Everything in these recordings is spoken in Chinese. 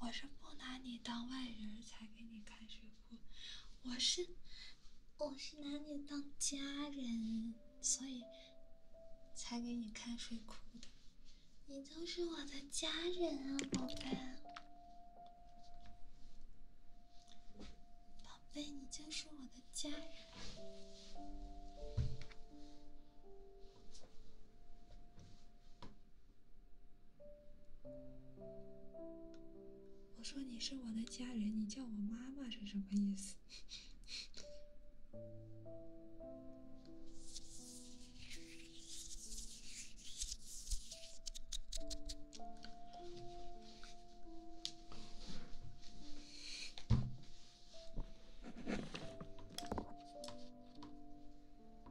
我是不拿你当外人才给你看水库，我是我是拿你当家人，所以才给你看水库的。你就是我的家人啊，宝贝。宝贝，你就是我的家人。我说你是我的家人，你叫我妈妈是什么意思？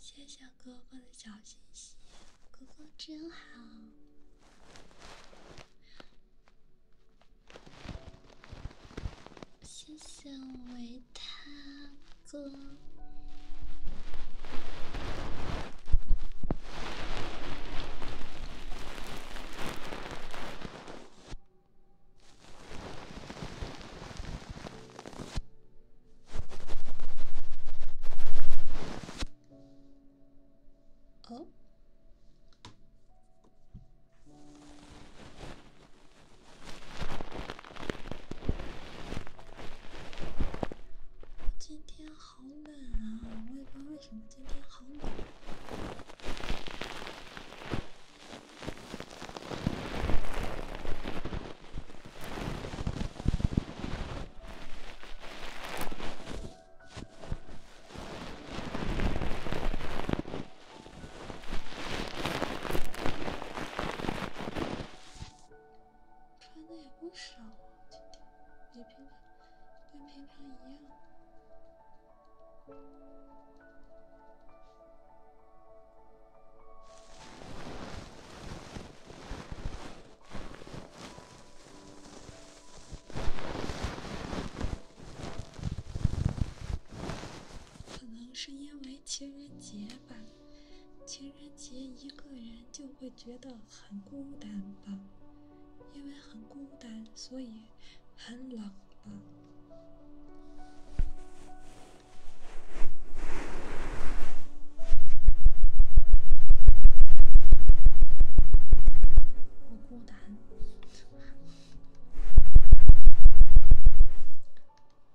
谢谢哥哥的小心心，哥哥真好。谢谢维他哥。哦，今天。好冷啊！我也不知道为什么今天好冷，穿的也不少今天我觉跟平常一样，可能是因为情人节吧，情人节一个人就会觉得。很孤单吧？因为很孤单，所以很冷吧？我孤单。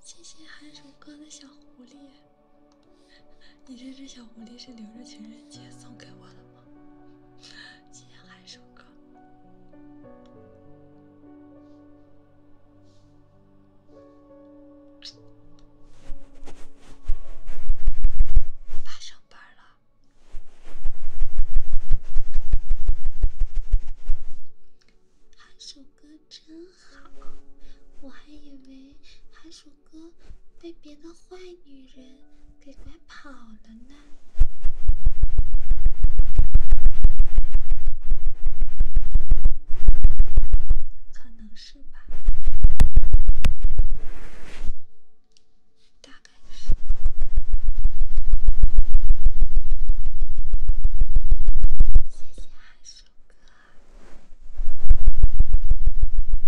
谢谢韩鼠哥的小狐狸，你这只小狐狸是留着情人节送给我的。今天海真好，我还以为海鼠哥被别的坏女人。给拐跑了呢？可能是吧，大概是。谢谢阿叔哥。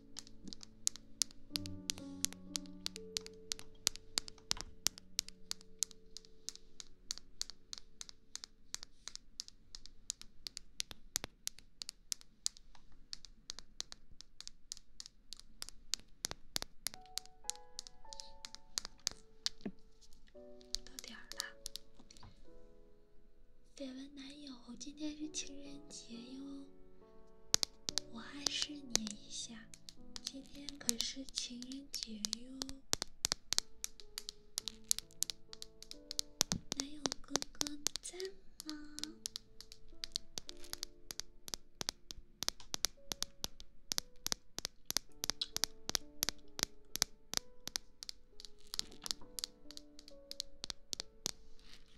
到点儿了，绯闻男友，今天是情人节哟。我还是念一下，今天可是情人节哟，男友哥哥在吗？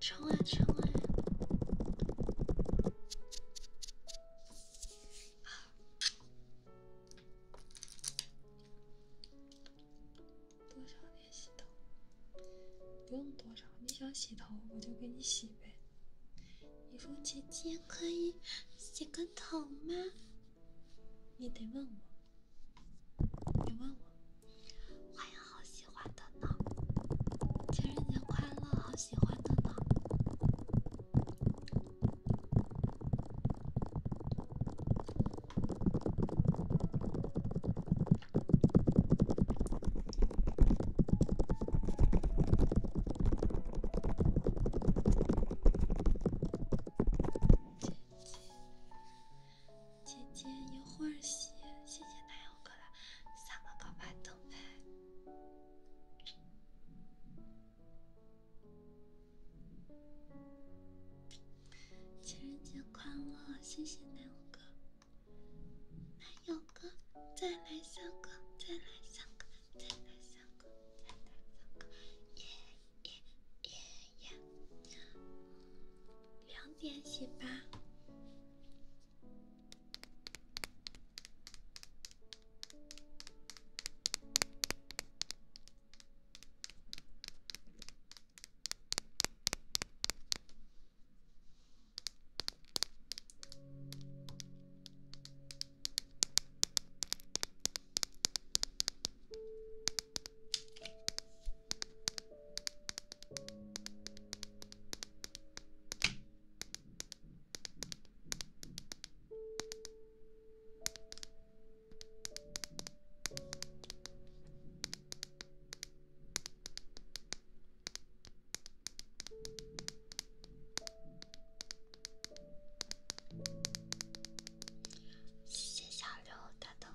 冲啊冲啊！多少年洗头？不用多少，你想洗头我就给你洗呗。你说姐姐可以洗个头吗？你得问我。你问我，欢迎好喜欢的呢，情人节快乐，好喜欢的呢。姐姐一会儿洗，谢谢奶油哥了，三个高拍灯呗。情人节快乐，谢谢奶油哥。奶油哥，再来三个，再来三个，再来三个，再来三个，耶耶耶。两点洗吧。谢谢小刘，他的。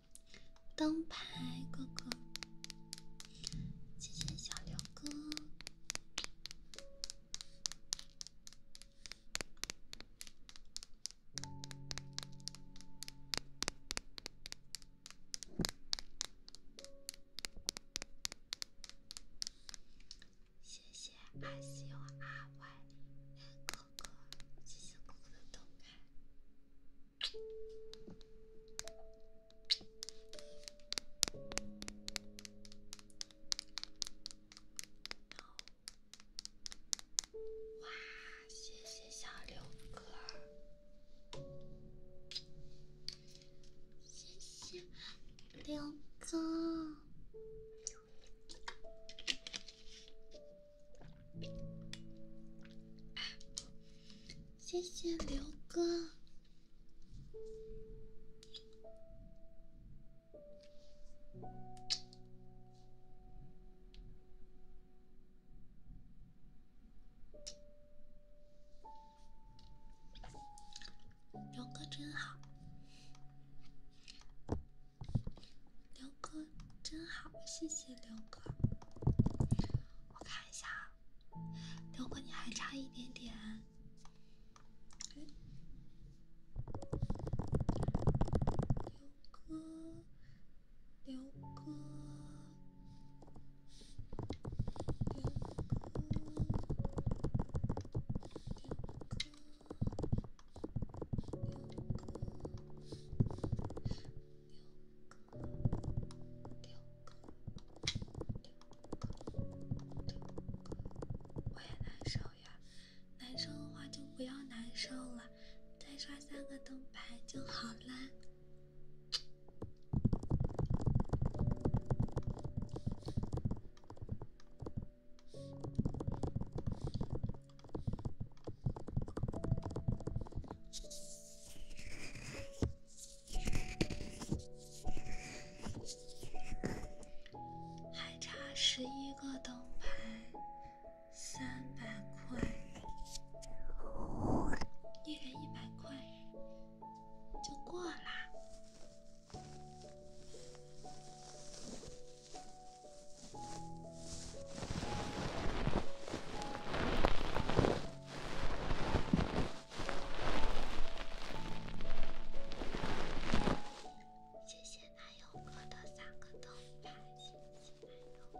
灯牌哥哥，谢谢小刘哥，谢谢 S U R Y。哥，谢谢哥哥的动态。哇，谢谢小刘哥，谢谢刘哥。谢谢刘哥，刘哥真好。刘哥真好，谢谢刘哥。我看一下啊，刘哥你还差一点点。刘哥，刘哥。两个，两个，两个，两个，两个。我也难受呀，难受的话就不要难受了，再刷三个灯牌就好了。还差十一个灯牌，三百块，一人一百块，就过啦。谢谢男友哥的三个灯牌，谢谢男友哥。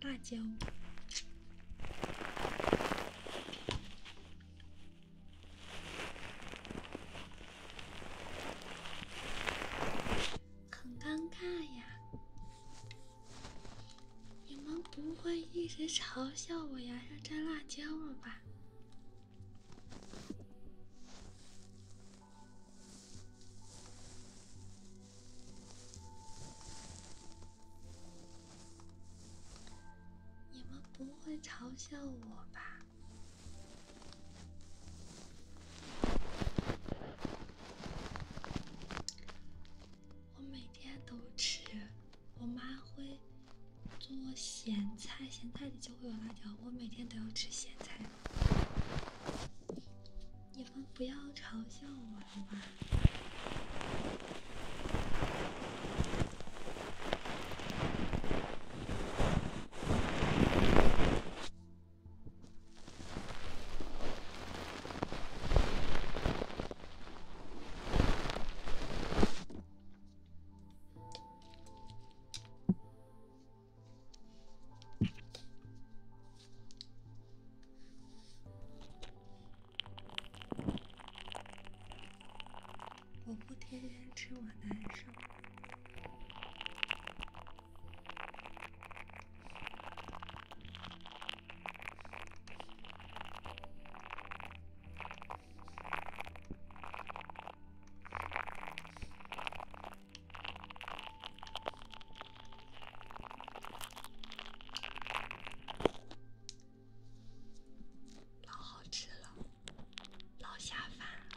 辣椒，很尴尬呀！你们不会一直嘲笑我牙上粘辣椒了吧？你们不会嘲笑我吧？我每天都吃，我妈会做咸菜，咸菜里就会有辣椒。我每天都要吃咸菜。不要嘲笑我好嘛！我不天天吃，我难受。老好吃了，老下饭了。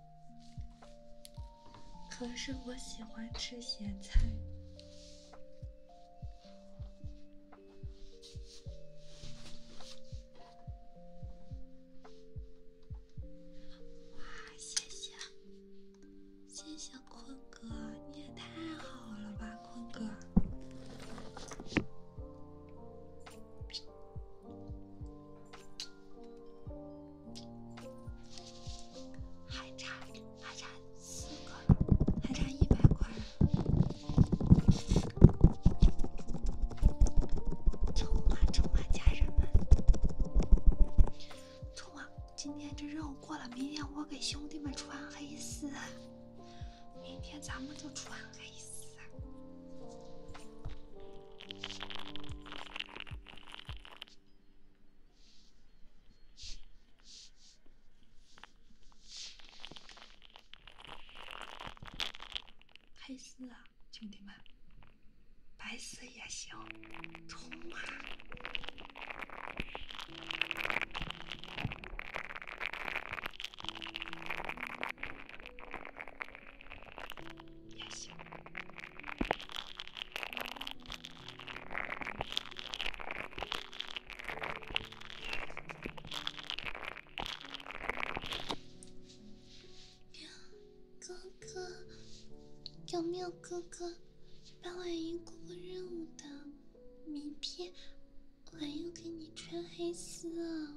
可是我喜欢吃咸菜。哇，谢谢，谢谢坤哥，你也太好了吧，坤哥。还差，还差四个，还差一百块。冲啊，冲啊，家人们！冲啊！今天这任务过了，明天我给兄弟们穿黑丝。明天咱们就穿黑丝。黑丝，兄弟们，白丝也行，冲啊！哥哥，有没有哥哥帮婉莹过过任务的名片？婉莹给你穿黑丝哦。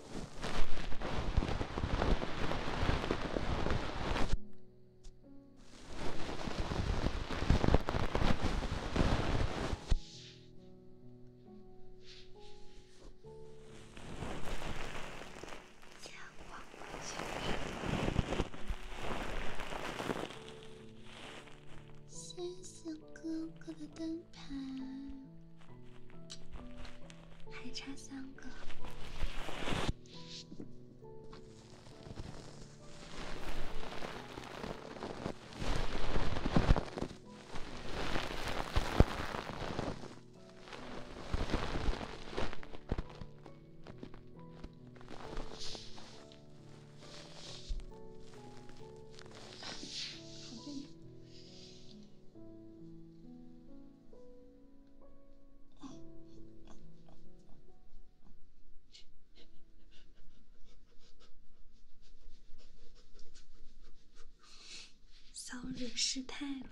谢谢哥哥的灯牌。还差三个。好近。骚扰失态了。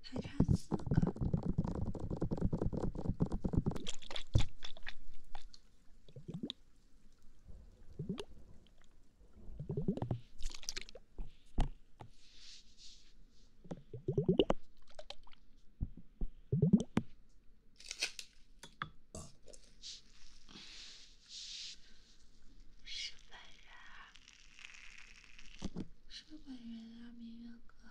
还差四个。是本人是本人啊，明月哥。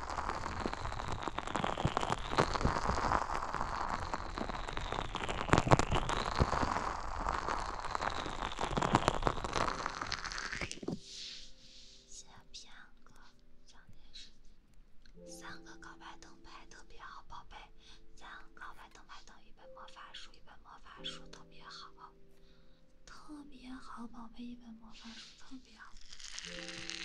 切片，个讲点事。三个高白灯牌特别好，宝贝。三个高白灯牌等于一本魔法书，一本魔法书特别好，特别好，宝贝，一本魔法书特别好。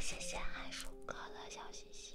谢谢爱数哥的小星星。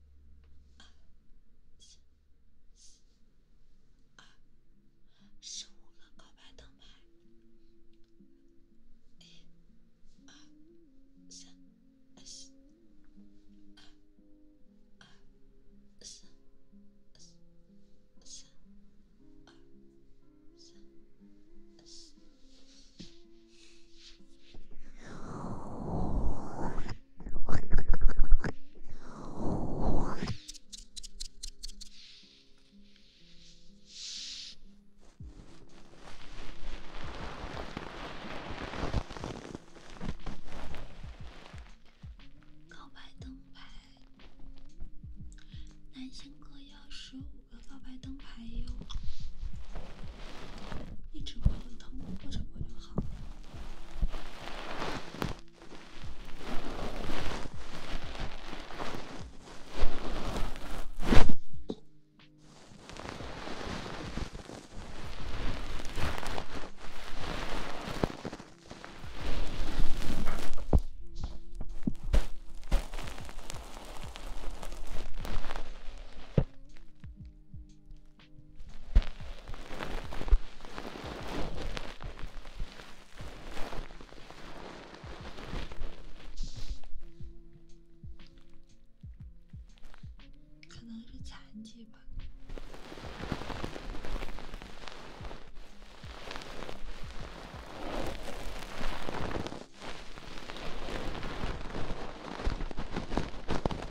二、四、四、二，十五个告白灯牌。一、二、三、四、二、二、四、四、三、告白灯牌，男性哥要十五个告白灯。还有，一直过得疼，或者过得好。可能是残疾吧。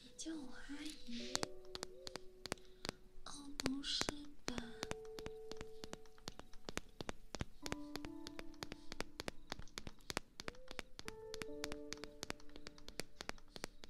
你叫我阿姨？哦，不是吧？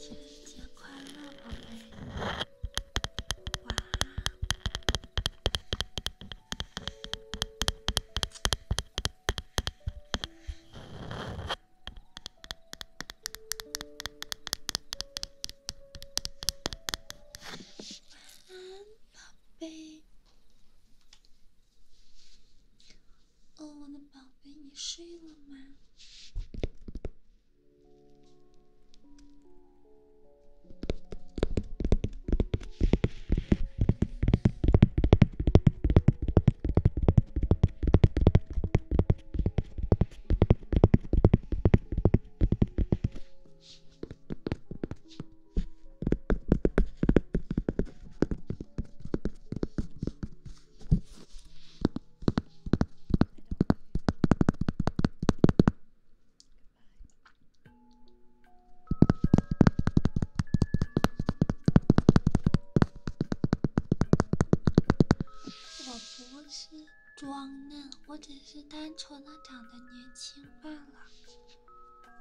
情人节快乐，宝贝。晚晚安，宝贝。哦，我的宝贝，你睡了吗？我不吃。装嫩，我只是单纯的长得年轻罢了。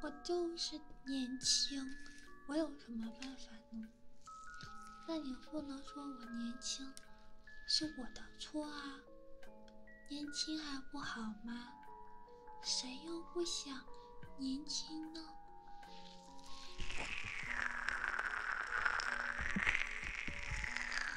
我就是年轻，我有什么办法呢？那你不能说我年轻是我的错啊？年轻还不好吗？谁又不想年轻呢？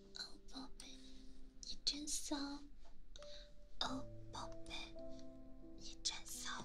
哦，宝贝，你真骚！哦，宝贝，你真骚！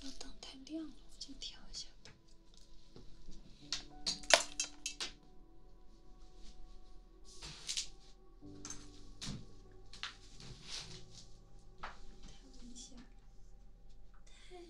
这灯太亮了，我再调一下吧。调一下，太。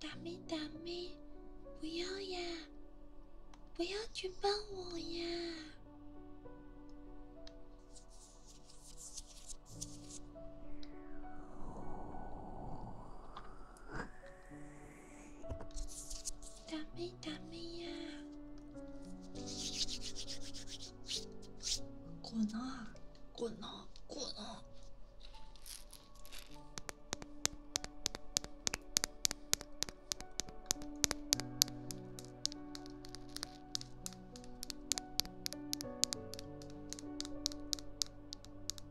打妹，打妹，不要呀！不要举报我呀！ダメダメやこなこなこな。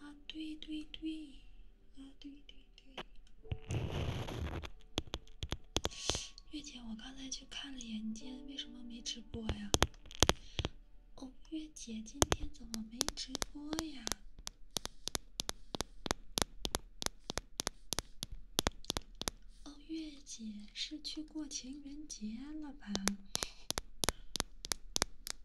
啊对对对，啊对对对，月姐，我刚才去看了眼，你今天为什么没直播呀？哦，月姐今天怎么没直播呀？哦，月姐是去过情人节了吧？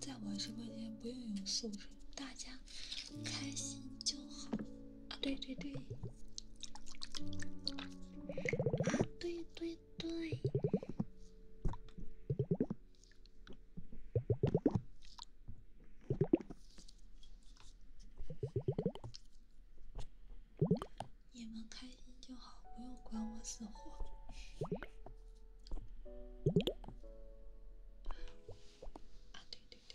在我直播间不用有素质，大家开心就好。啊，对对对，啊对对。对，你们开心就好，不用管我死活。啊，对对对。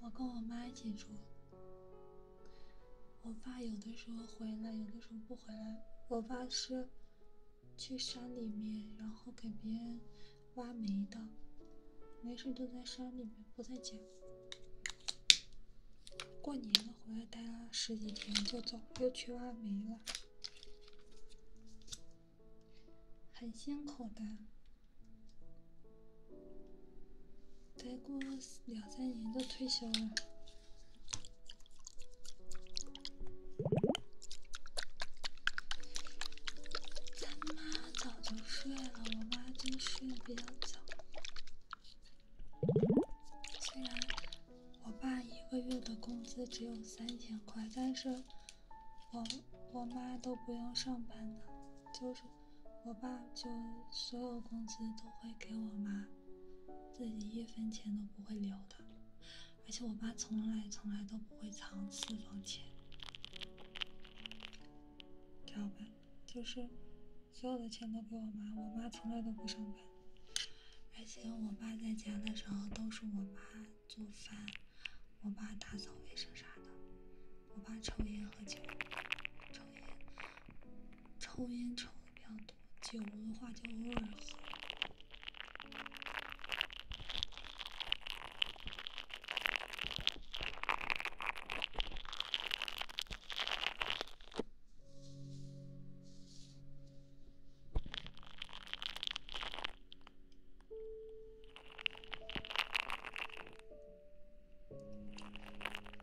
我跟我妈一起住。我爸有的时候回来，有的时候不回来。我爸是去山里面，然后给别人挖煤的，没事就在山里面，不在家。过年了回来，待了十几天就走，又去挖煤了，很辛苦的。再过两三年就退休了。咱妈早就睡了，我妈就睡得比较早。虽然我爸一个月的工资只有三千块，但是我我妈都不用上班的，就是。我爸就所有工资都会给我妈，自己一分钱都不会留的，而且我爸从来从来都不会藏私房钱。道吧？就是所有的钱都给我妈，我妈从来都不上班，而且我爸在家的时候都是我妈做饭，我爸打扫卫生啥的。我爸抽烟喝酒，抽烟。抽烟抽的比较多，酒的话就偶尔喝。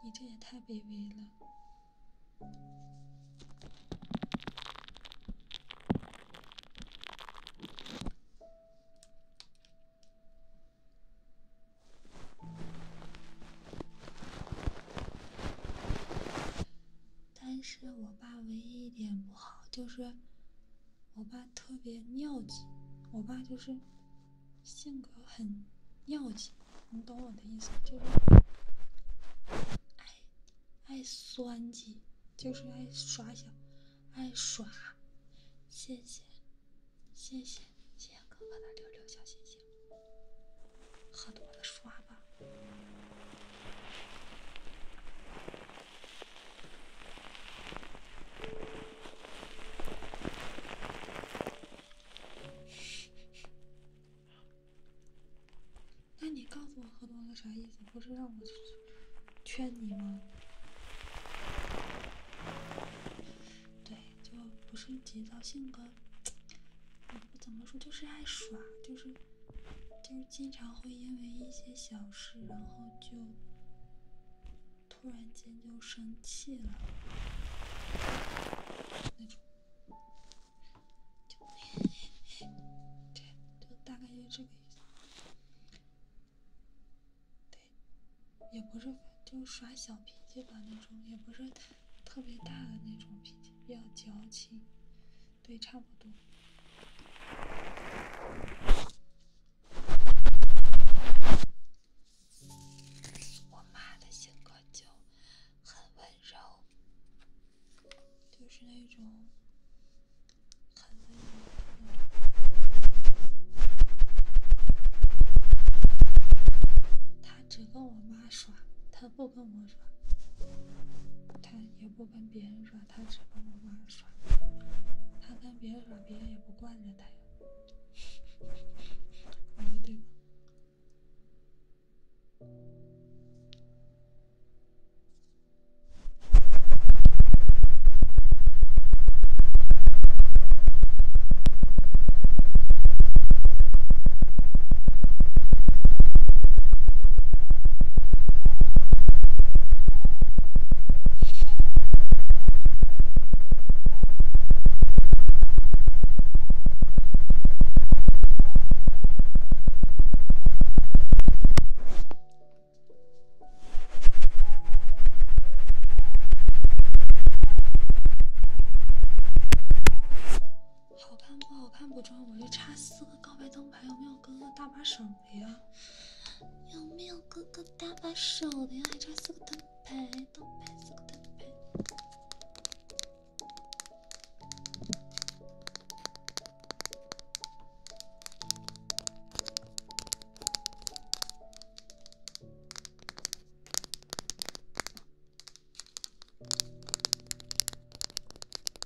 你这也太卑微了。但是我爸唯一一点不好就是，我爸特别尿急，我爸就是性格很尿急，你懂我的意思，就是爱爱酸计，就是爱耍小爱耍，谢谢谢谢谢谢哥哥的六六小星星，喝多的耍。那你告诉我喝多了啥意思？不是让我劝你吗？对，就不是急躁性格，也不怎么说，就是爱耍，就是。就是经常会因为一些小事，然后就突然间就生气了，那种，就，对，就大概就这个意思。对，也不是就耍小脾气吧，那种也不是特别大的那种脾气，比较矫情。对，差不多。我妈的性格就很温柔，就是那种很温柔。他只跟我妈说，他不。不跟我耍，他也不跟别人耍，他只跟我妈耍。他跟别人耍，别人也不惯着他。呀。对说对？好看不好看不重我就差四个告白灯。还有没有哥哥搭把手的呀？有没有哥哥搭把手的呀？还差四个灯牌，灯牌四个灯牌。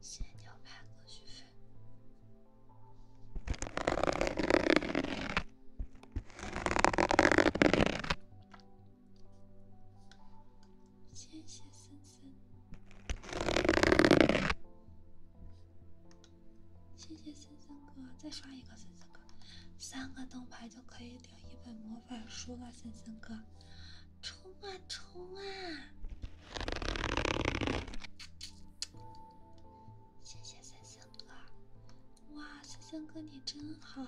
仙鸟派歌曲费，谢谢森森。谢谢森森哥，再刷一个森森哥，三个灯牌就可以领一本魔法书了，森森哥，冲啊冲啊！谢谢森森哥，哇，森森哥你真好。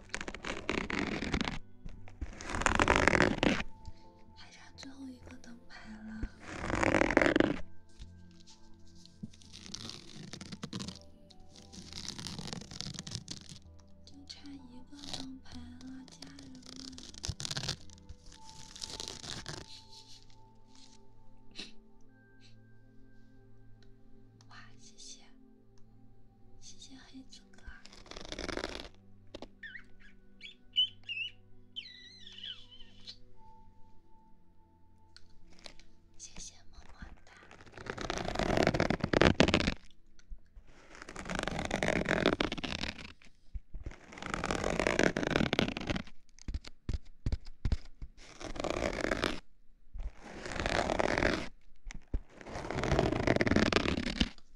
还差最后一个灯牌了，就差一个灯牌了，家人们！哇，谢谢！谢谢黑子哥，谢谢，么么哒。